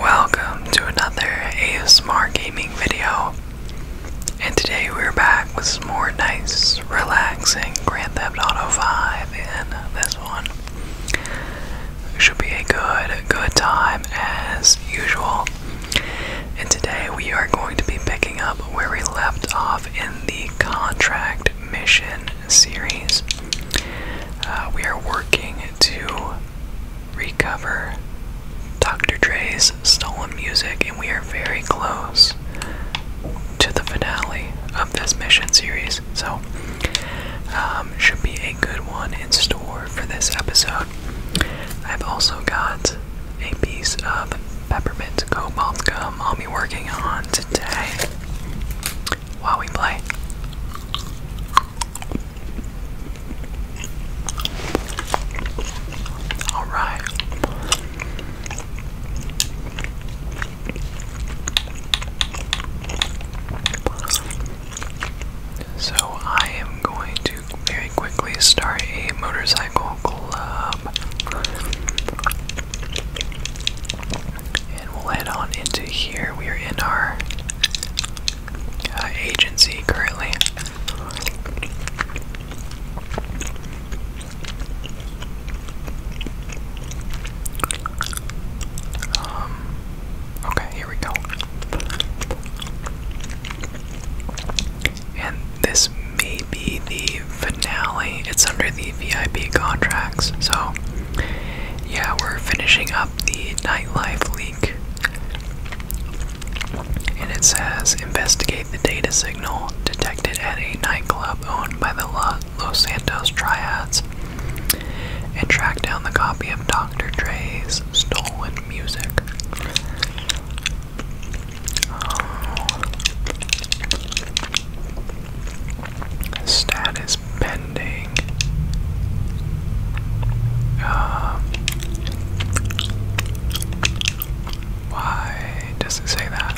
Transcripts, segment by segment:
Welcome to another ASMR gaming video. And today we're back with some more nice, relaxing Grand Theft Auto 5 And this one. Should be a good, good time as usual. And today we are going to be picking up where we left off in the contract mission series. Uh, we are working to recover Dr. Dre's stolen music, and we are very close to the finale of this mission series. So, um, should be a good one in store for this episode. I've also got a piece of peppermint cobalt gum I'll be working on today while we play. All right. So I am going to very quickly start a motorcycle club. And we'll head on into here. We are in our uh, agency currently. Um, okay, here we go. And this may be the finale. It's under the VIP contracts, so yeah, we're finishing up the nightlife leak. And it says investigate the data signal detected at a nightclub owned by the Los Santos Triads and track down the copy of Dr. Dre's stolen music. Oh. Status pending. Um, why does it say that?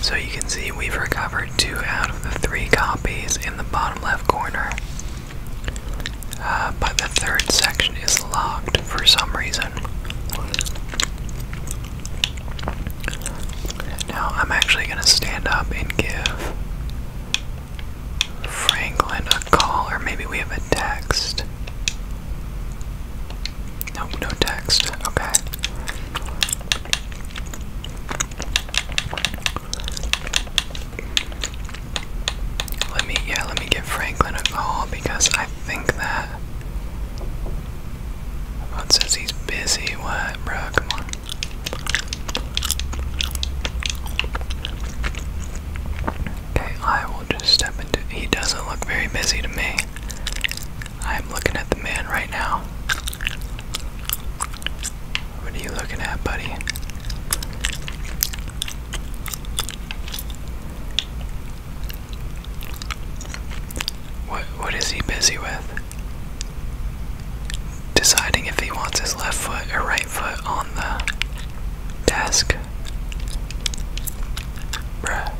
So you can see we've recovered two out of the three copies in the bottom left corner. Uh, but the third section is locked for some reason. Now I'm actually going to stand up and give Franklin a call, or maybe we have a text. No, no text. Okay. Let me, yeah, let me give Franklin a call because I think that Everyone says he's busy. What, bro? Come on. Okay, I will just step into. He doesn't look very busy to me. I'm looking at the man right now. What are you looking at, buddy? What what is he busy with? deciding if he wants his left foot or right foot on the desk. Hello.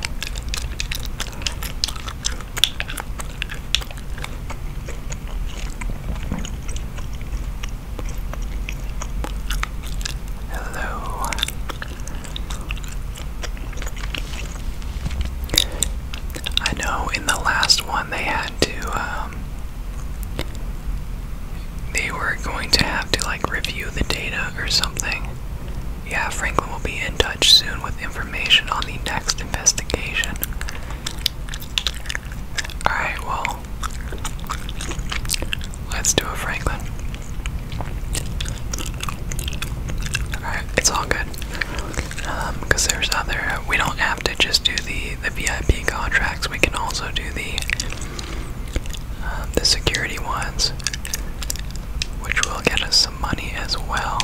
I know in the last one they had to, um, they were going to have to like review the data or something. Yeah, Franklin will be in touch soon with information on the next investigation. Alright, well, let's do it, Franklin. Alright, it's all good because um, there's other. We don't have to just do the the VIP contracts. We can also do the um, the security ones, which will get us some money as well.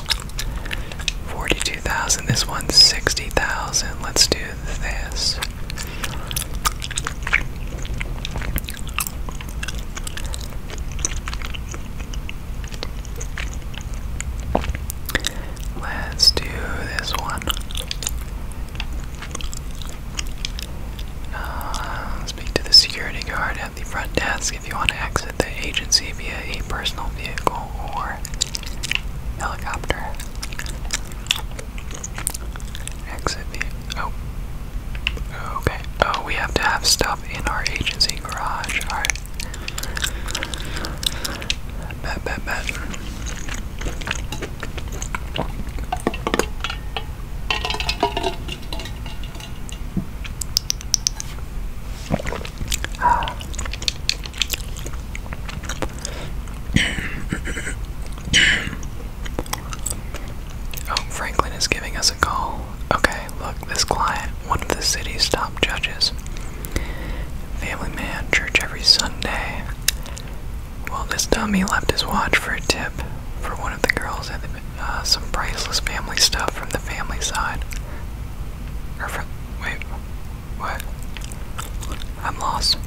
Forty-two thousand. This one's sixty thousand. Let's do this. Let's do this one. Uh, speak to the security guard at the front desk if you want to exit the agency via a personal vehicle or helicopter. Exit via. Oh. Okay. Oh, we have to have stuff in our agency garage. Alright. oh, Franklin is giving us a call. Okay, look, this client, one of the city's top judges. Family man, church every Sunday. Well, this dummy left his watch for a tip for one of the girls and uh, some priceless family stuff from the family side. Or wait, what? I'm lost.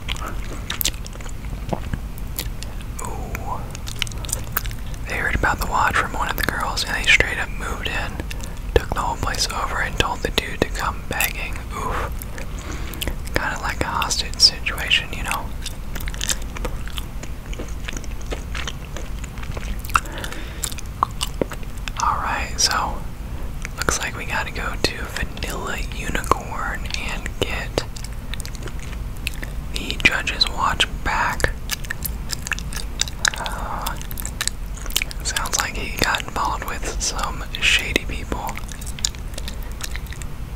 They heard about the watch from one of the girls and they straight up moved in Took the whole place over and told the dude to come begging. Oof. Kinda like a hostage situation, you know? Alright, so looks like we gotta go to Vanilla Unicorn and get the Judge's Watch back. Uh, sounds like he got involved with some shady people.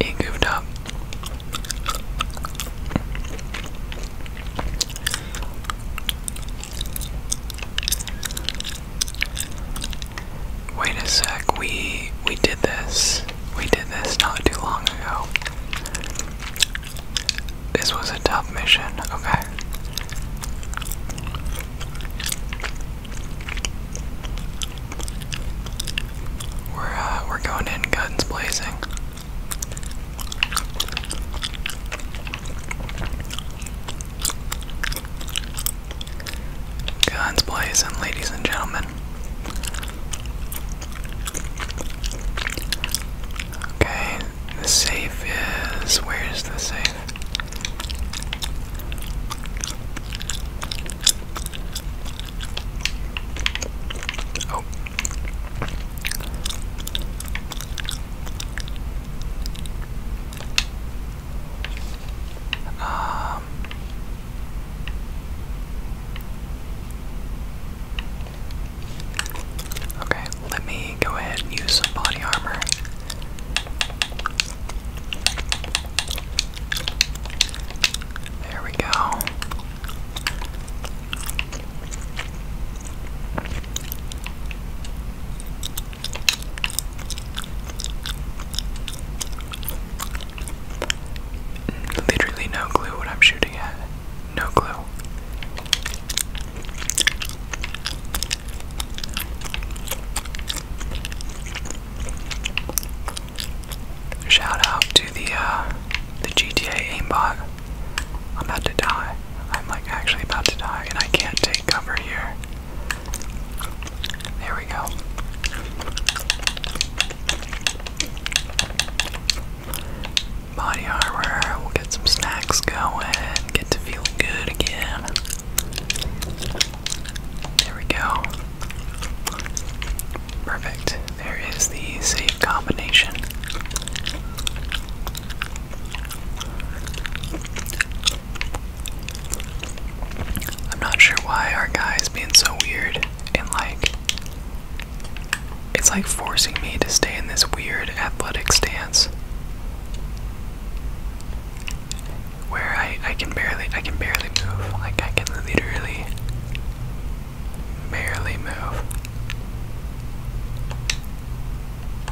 He goofed up. Wait a sec, we we did this. We did this not too long ago. This was a tough mission, okay. We're uh, we're going in guns blazing. Guns blazing, ladies and gentlemen. Okay, the safe is. Where is the safe? Oh. Um. Okay, let me go ahead and use some body armor. There we go. Literally no clue what I'm shooting at. No clue. Shout out to the uh, the GTA aimbot. I'm about to die. I'm like actually about to die, and I can't take cover here. There we go body armor, we'll get some snacks going, get to feel good again. There we go. Perfect. There is the safe combination. I'm not sure why our guy is being so weird and like it's like forcing me to stay in this weird athletic stance where I, I can barely I can barely move. Like I can literally barely move.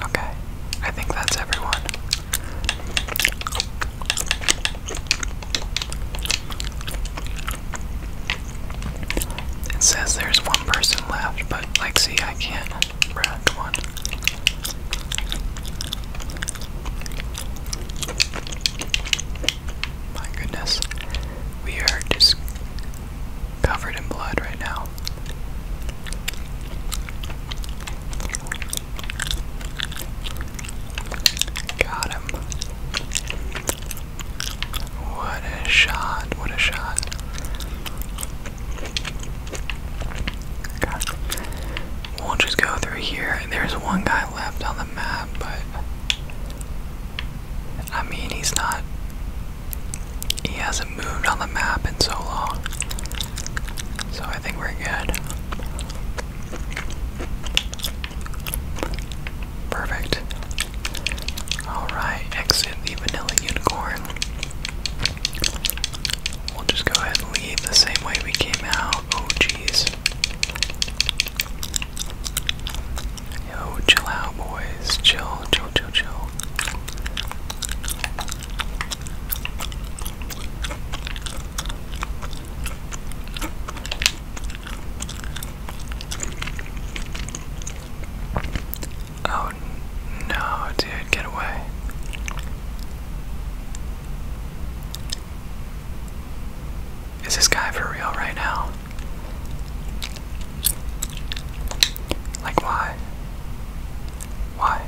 Okay. I think that's everyone. It says there's one person left, but like, see, I can't round one. My goodness, we are just covered in blood right now. Got him. What a shot, what a shot. God. We'll just go through here. There's one guy left on the map, but I mean, he's not. He hasn't moved on the map in so long. So I think we're good. Perfect. Alright, exit the vanilla unicorn. We'll just go ahead and leave the same way we came out. Oh, jeez. Yo, chill out, boys. Chill, chill, chill, chill. Oh no, dude, get away. Is this guy for real right now? Like, why? Why?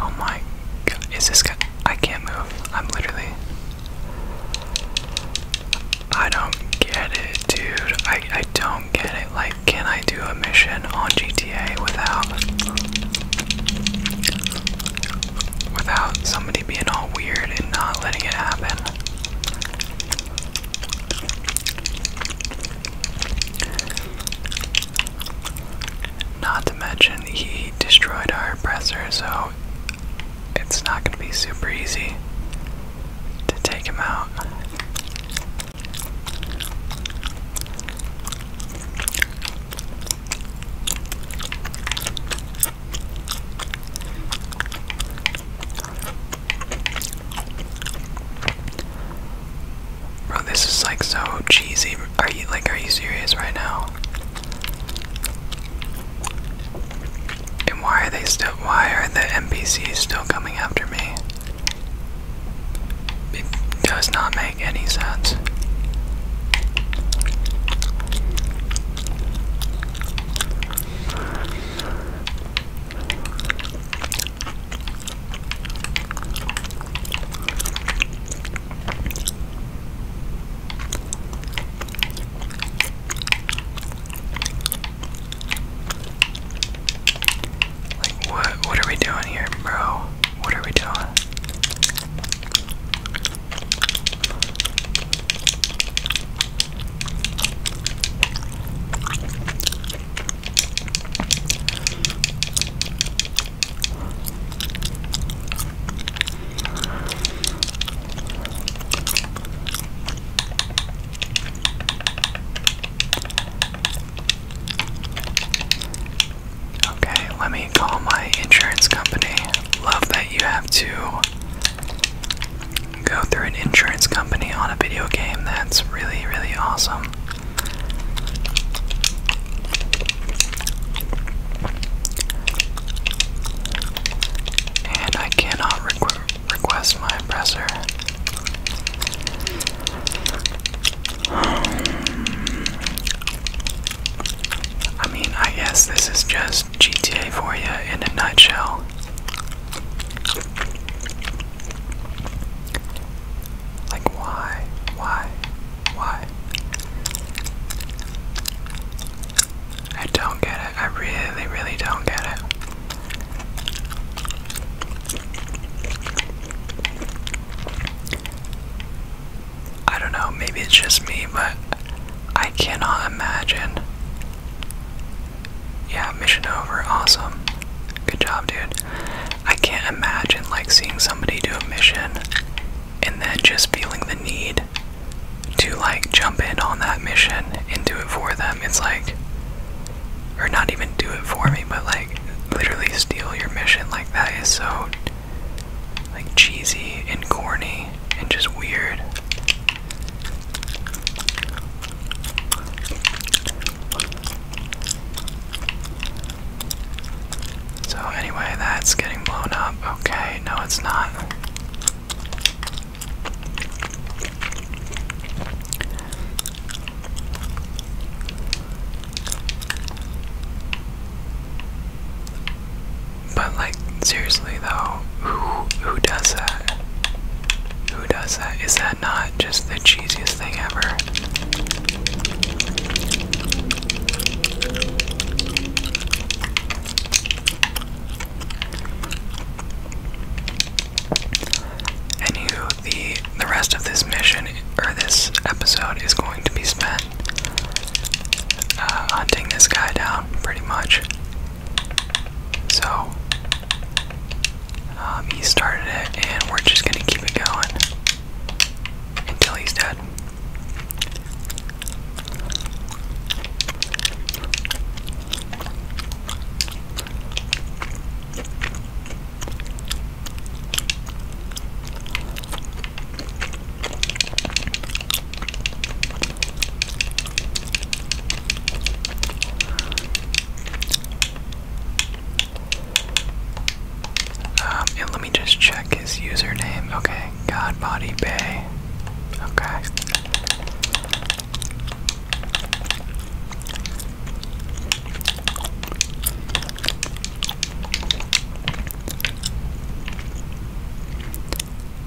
Oh my god, is this guy? I can't move. I'm literally. I don't get it, dude. I, I don't get it. Like, can I do a mission on GTA without without somebody being all weird and not letting it happen? Not to mention he destroyed our oppressor, so it's not going to be super easy to take him out. Bro, this is like so cheesy. Are you like are you serious right now? And why are they still why are the NPCs still coming after me? It does not make any sense. Like what what are we doing here, bro? What are we doing? Okay, let me call my insurance company. Love that you have to go through an insurance company on a video game. That's really, really awesome. And I cannot request my oppressor. Um, I mean, I guess this is just GTA for you in a nutshell. Like, why? Why? Why? I don't get it. I really, really don't get it. I don't know, maybe it's just me, but I cannot imagine. Yeah, mission over, awesome. Good job, dude. I can't imagine like seeing somebody do a mission and then just feeling the need to like jump in on that mission and do it for them. It's like or not even do it for me, but like literally steal your mission like that is so like cheesy and corny and just weird. So anyway, that's getting blown up. Okay, no it's not. But like seriously though, who who does that? Who does that? Is that not just the cheesiest thing ever? Anywho, the the rest of this mission or this episode is going to be spent uh, hunting this guy down, pretty much. So um, he started it, and we're just gonna keep it going until he's dead. Um, and let me just check his username. Okay, Godbody Bay. Okay.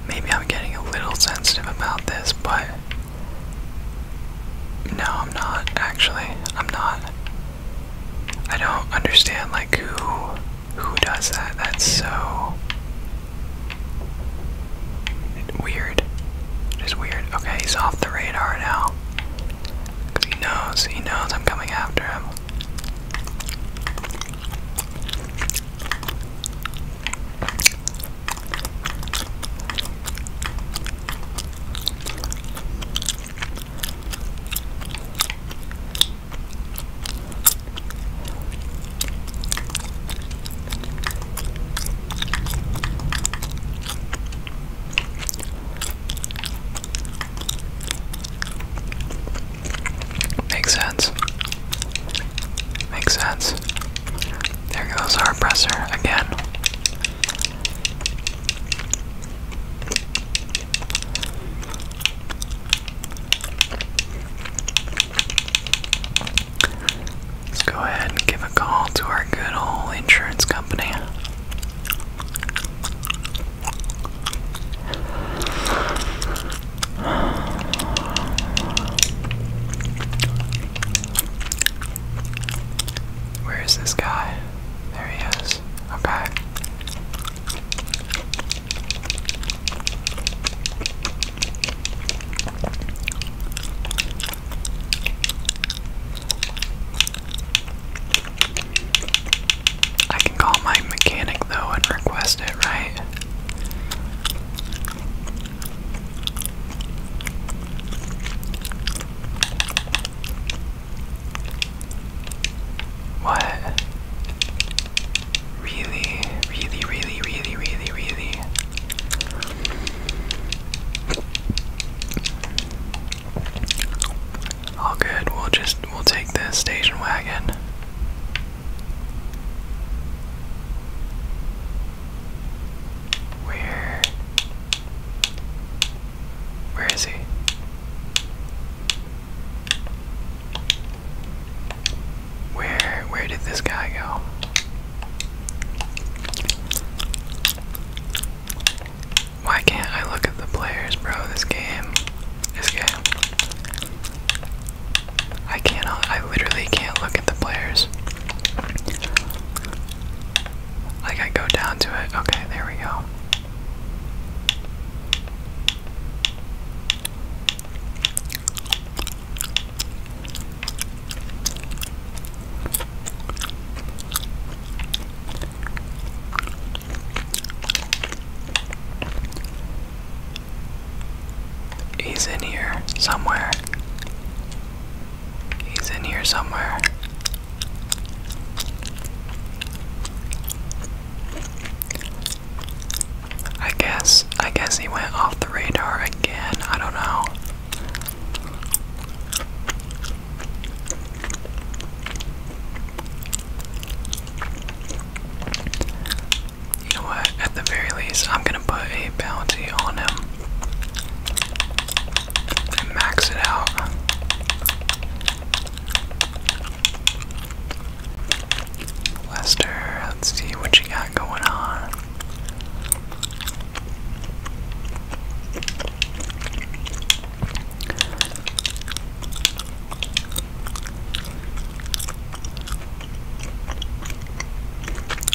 Maybe I'm getting a little sensitive about this, but no, I'm not actually. I'm not. I don't understand like who who does that. That's so weird. Just weird. Okay, he's off the radar now he knows, he knows I'm coming after him. Makes sense. Makes sense. There goes our presser again. Let's go ahead and give a call to our good old insurance company. Where is this guy? There he is. Okay. I can call my mechanic though and request it, right? What? Really, really, really, really, really, really. All good. We'll just we'll take the station wagon. Where? Where is he? Where where did this guy go? Why can't I look at the players, bro? This game. This game. I cannot. I literally can't look at the players. Like, I go down to it. Okay, there we go. He's in here somewhere. He's in here somewhere. I guess I guess he went off the radar again. I don't know. You know what? At the very least, I'm gonna put a bounty on him and max it out. Lester, let's see what you got going on.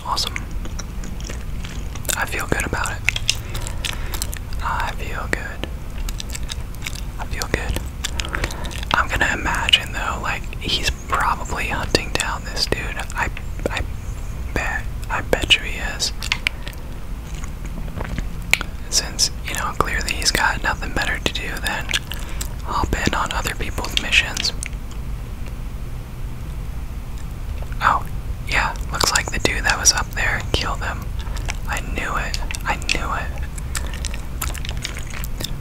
Awesome. I feel good about it. I feel good. I feel good. I'm gonna imagine though, like he's probably hunting down this dude. I I bet I bet you he is. Since, you know, clearly he's got nothing better to do than hop in on other people's missions. Oh, yeah, looks like the dude that was up there killed them. I knew it. I knew it.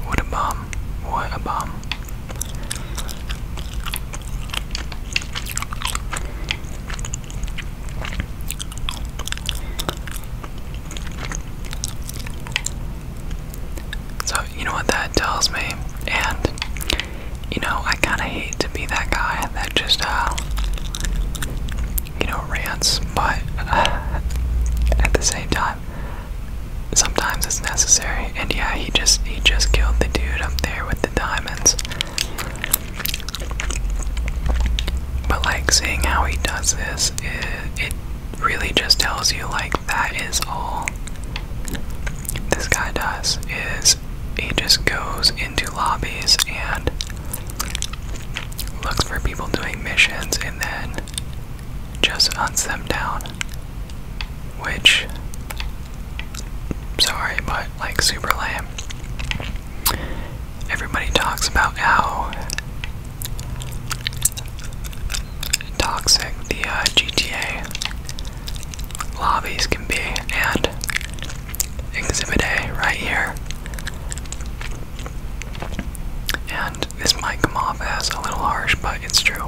What a bum. What a bum. So, you know what that tells me? And, you know, I kind of hate to be that guy that just, uh, you know, rants, but uh, at the same time, sometimes it's necessary. And yeah, he just he just killed the dude up there with the diamonds. But like seeing how he does this, it, really just tells you like that is all this guy does is he just goes into lobbies and looks for people doing missions and then just hunts them down. Which sorry, but like super lame. Everybody talks about how toxic the uh, GTA lobbies can be, and Exhibit A right here. And this might come off as a little harsh, but it's true.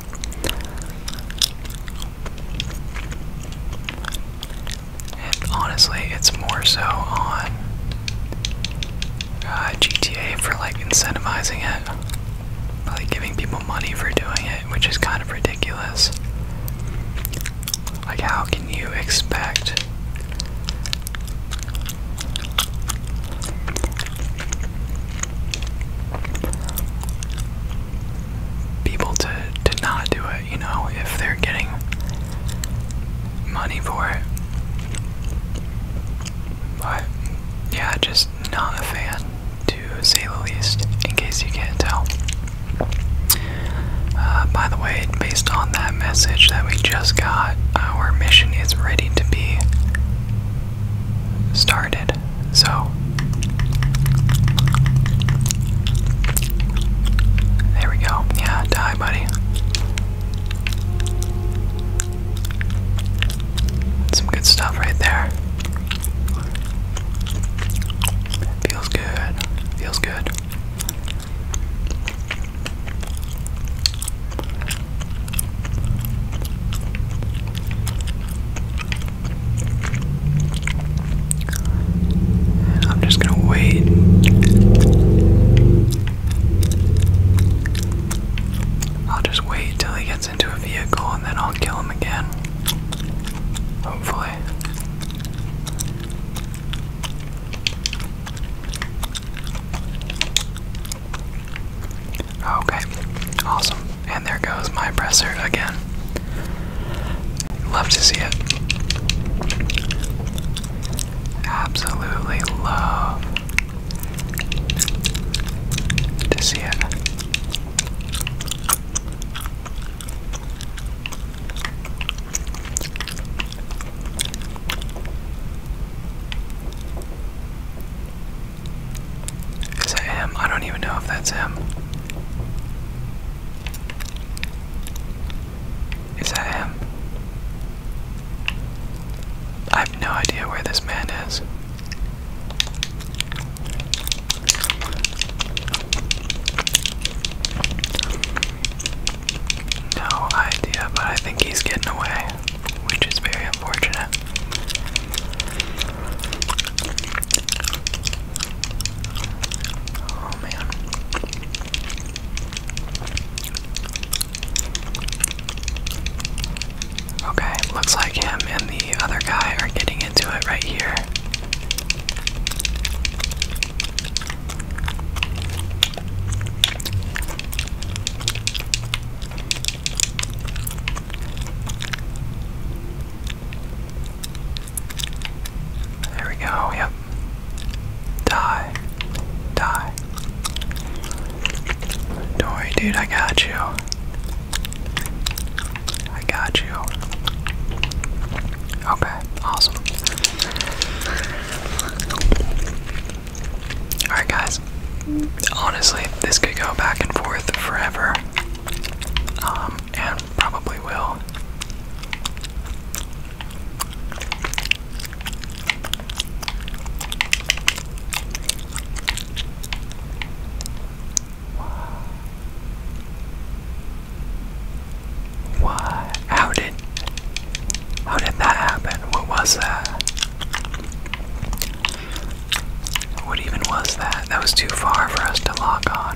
And honestly, it's more so on uh, GTA for like incentivizing it, like giving people money for doing it, which is kind of ridiculous. Like, how can you expect? people to to not do it, you know, if they're getting money for it. But yeah, just not a fan to say the least, in case you can't tell. Uh, by the way, based on that message that we just got, our mission is ready to be started. So there we go. Yeah, die, buddy. Some good stuff right there. Feels good. Feels good. I'm just gonna wait. I'll just wait till he gets into a vehicle and then I'll kill him again. Hopefully. Okay, awesome. And there goes my presser again. Love to see it. Absolutely love to see it. Is that him? I don't even know if that's him. Is that him? I have no idea where this man is. No idea, but I think he's getting away, which is very unfortunate. Oh man. Okay, looks like him and the other guy are getting into it right here. There we go, yep. Die. Die. Don't worry, dude, I got you. I got you. Okay, awesome. Alright, guys. Honestly, this could go back and forth forever um, and probably will. What? How did how did that happen? What was that? What even was that? That was too far for us to lock on. I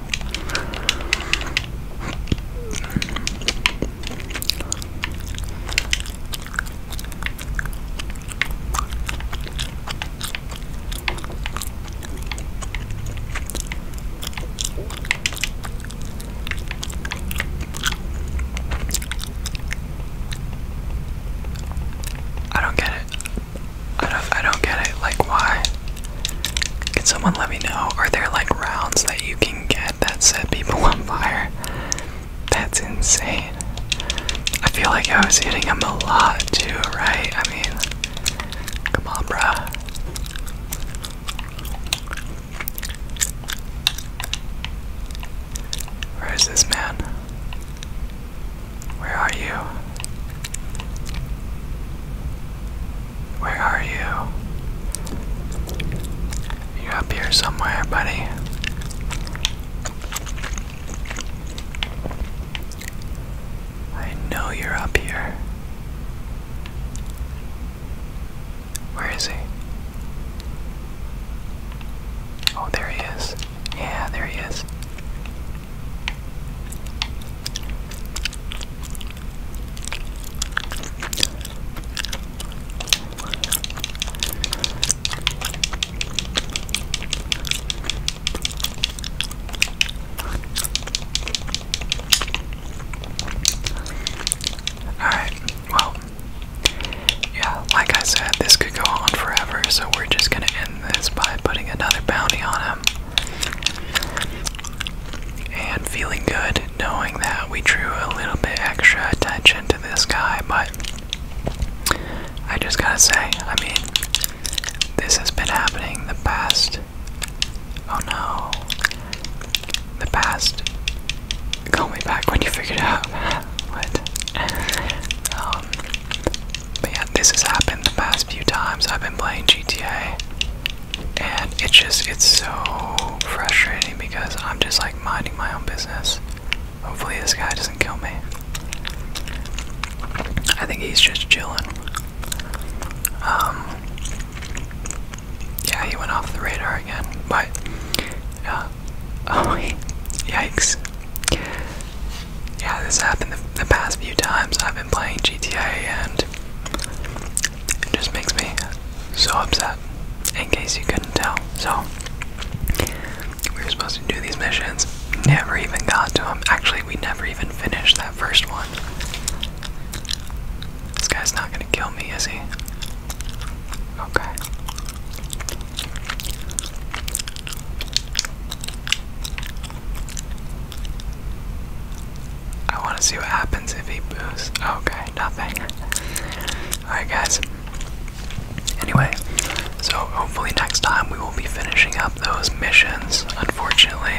don't get it. I don't, I don't get it. Like, why? Can someone let me know? Are there like rounds that you can get that set people on fire? That's insane. I feel like I was hitting him a lot too, right? I mean, come on, bro. Where is this man? Where are you? Where are you? You're up here somewhere, buddy. I know you're up here. Where is he? Oh, there he is. Yeah, there he is. Alright, well, yeah, like I said, this could go on forever, so we're just gonna end this by putting another bounty on him. And feeling good knowing that we drew a little bit extra attention to this guy, but I just gotta say, I mean, this has been happening the past. Oh no. The past. Call me back when you figure it out what. Um, but yeah, this has happened the past few times I've been playing GTA. And it's just, it's so frustrating because I'm just like minding my own business. Hopefully, this guy doesn't kill me. I think he's just chilling. Um, yeah, he went off the radar again, but, uh, oh, yikes yeah, this happened the, past few times I've been playing GTA, and it just makes me so upset. In case you couldn't tell, so we were supposed to do these missions. Never even got to them. Actually, we never even finished that first one. This guy's not gonna kill me, is he? Okay. I want to see what happens if he boosts. Okay, nothing. Alright, guys. Anyway, so hopefully next time we will be finishing up those missions. Unfortunately,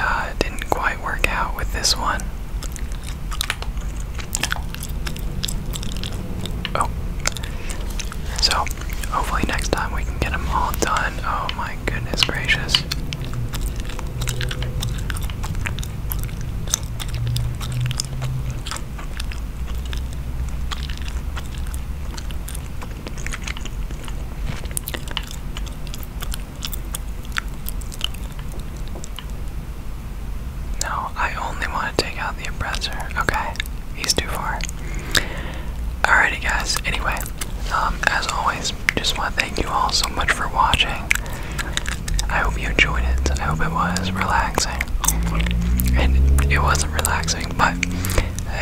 uh, it didn't quite work out with this one. Oh, so, hopefully, next time we can get them all done. Oh my goodness gracious. No, I only want to take out the oppressor. Okay, he's too far. Alrighty, guys. Anyway, um, as always, just want to thank you all so much for watching. I hope you enjoyed it. I hope it was relaxing. And it wasn't relaxing, but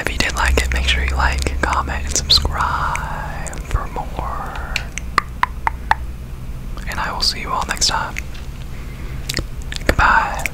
if you did like it, make sure you like, comment, and subscribe for more. And I will see you all next time. Goodbye.